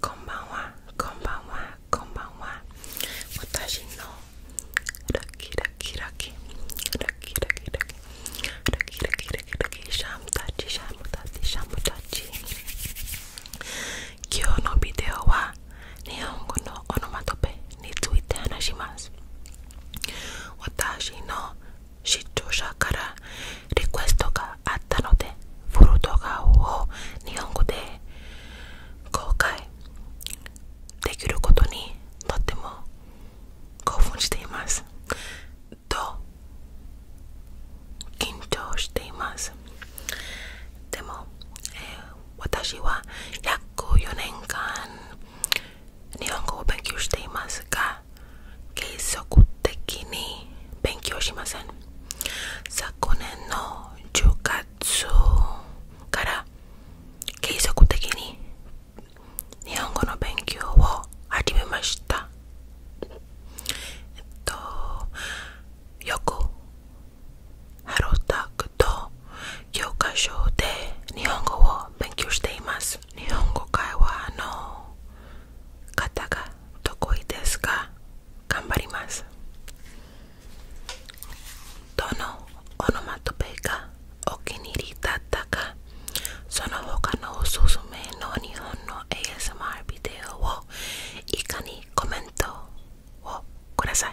こんばんはこんばんはこんばんは私のラッキーラッキーラッキーラッキーラッキーラッキーラッキーラッキーラッキーラッキーシャムタッチシャムタッチシャムタッチ今日のビデオは日本語のオノマトペについて話します私の視聴者からリクエストがあったのでフル動画を日本語で公開できることにとっても興奮していますと緊張していますでも、え私は約4年間日本語を勉強していますが継続的に勉強しません昨年の10月から継続的に日本語の勉強を始めましたえっとよくハロータクと教科書で日本語を勉強しています日本語会話の方が得意ですか？頑張りますどのオノマトペがお気に入りだったかその他のおすすめの日本の ASMR ビデオをいかにコメントをください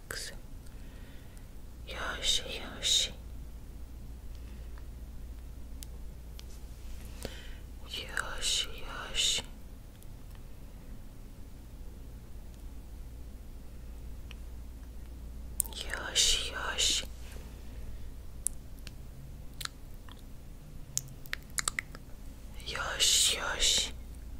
relax. Yoshi. Yoshi, Yoshi. Yoshi, Yoshi. Yoshi, Yoshi.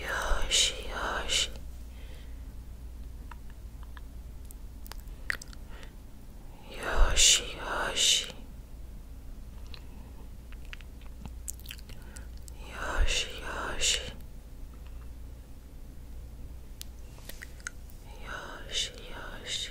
Yoshi, Yoshi. Yoshi, Yoshi. Yoshi, Yoshi. Yoshi, Yoshi.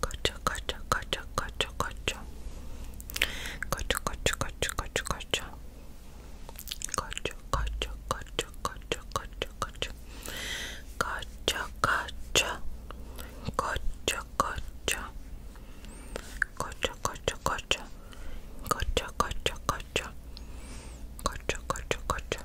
Gotcha, gotcha, gotcha, gotcha, gotcha. Gotcha, gotcha, gotcha, gotcha, gotcha. Gotcha, gotcha, gotcha, gotcha, gotcha, gotcha. Gotcha, gotcha. Gotcha, gotcha. Gotcha, gotcha, gotcha. Gotcha, gotcha, gotcha. Gotcha, gotcha, gotcha.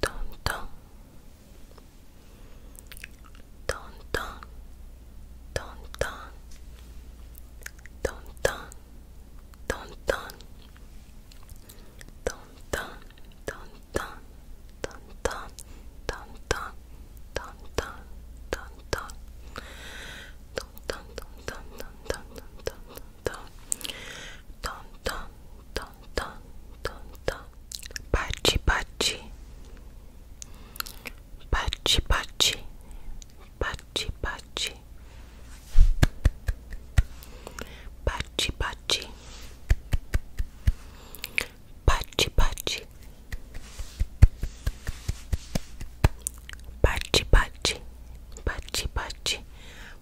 Tonton Tonton Tonton Tonton Tonton Tonton Tonton Tonton Tonton Tonton Tonton Tonton Tonton Tonton Tonton Ton ton ton ton ton ton Pachi pachi Pachi pachi Pachi pachi Pachi pachi Pachi pachi Pachi pachi Pachi pachi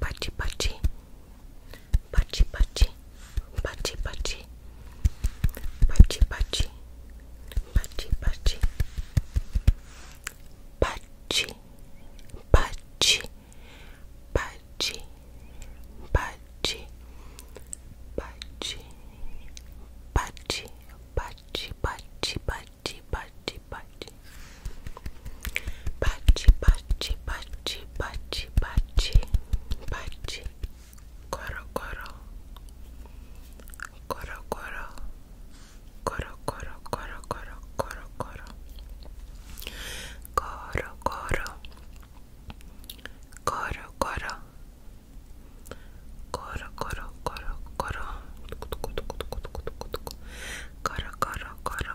Pachi Pachi Pachi Pachi Pachi Pachi Pachi Pachi Pachi Pachi Pachi Pachi Pachi Pachi Pachi Pachi Pachi Pachi Pachi Pachi, pachi, pachi. Pachi, pachi, pachi, pachi, pachi. Pachi. Coro, coro. Coro, coro. Coro, coro, coro, coro, coro, coro. Coro, coro. Coro, coro. Coro, coro, coro, coro. Coro, coro, coro, coro,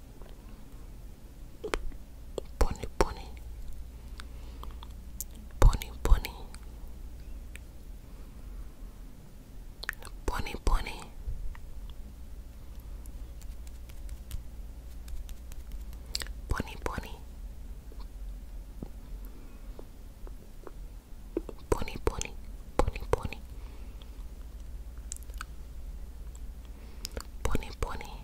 Pony, pony, pony, pony, pony, pony. Pony, pony, pony, pony, pony, pony, pony, pony.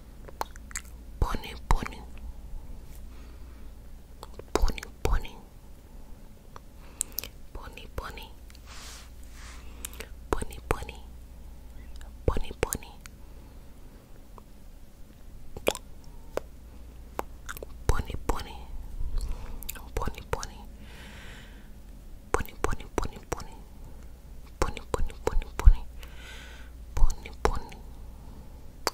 Bunny, bunny, bunny, bunny, bunny, bunny, bunny, bunny, bunny, bunny, bunny, bunny, bunny, bunny. Bunny, bunny, bunny, bunny, bunny, bunny, bunny, bunny, bunny, bunny,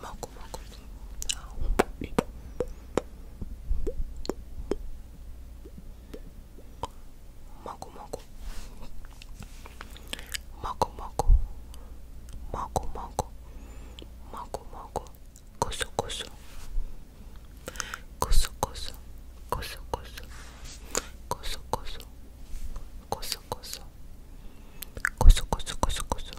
마구 마구 마구 마구 마구 마구 마구 마구 마구 마구 고소 고소 고소 고소 고소 고소 고소 고소 고소 고소 고소 고소 고소 고소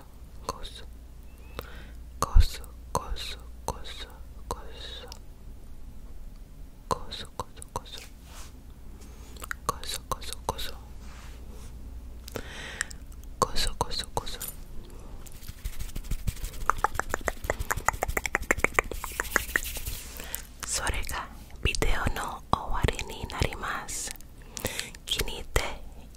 そこそこそこそこそこそこそこそこそこそこそこそこそこそこそそれがビデオの終わりになります気に入って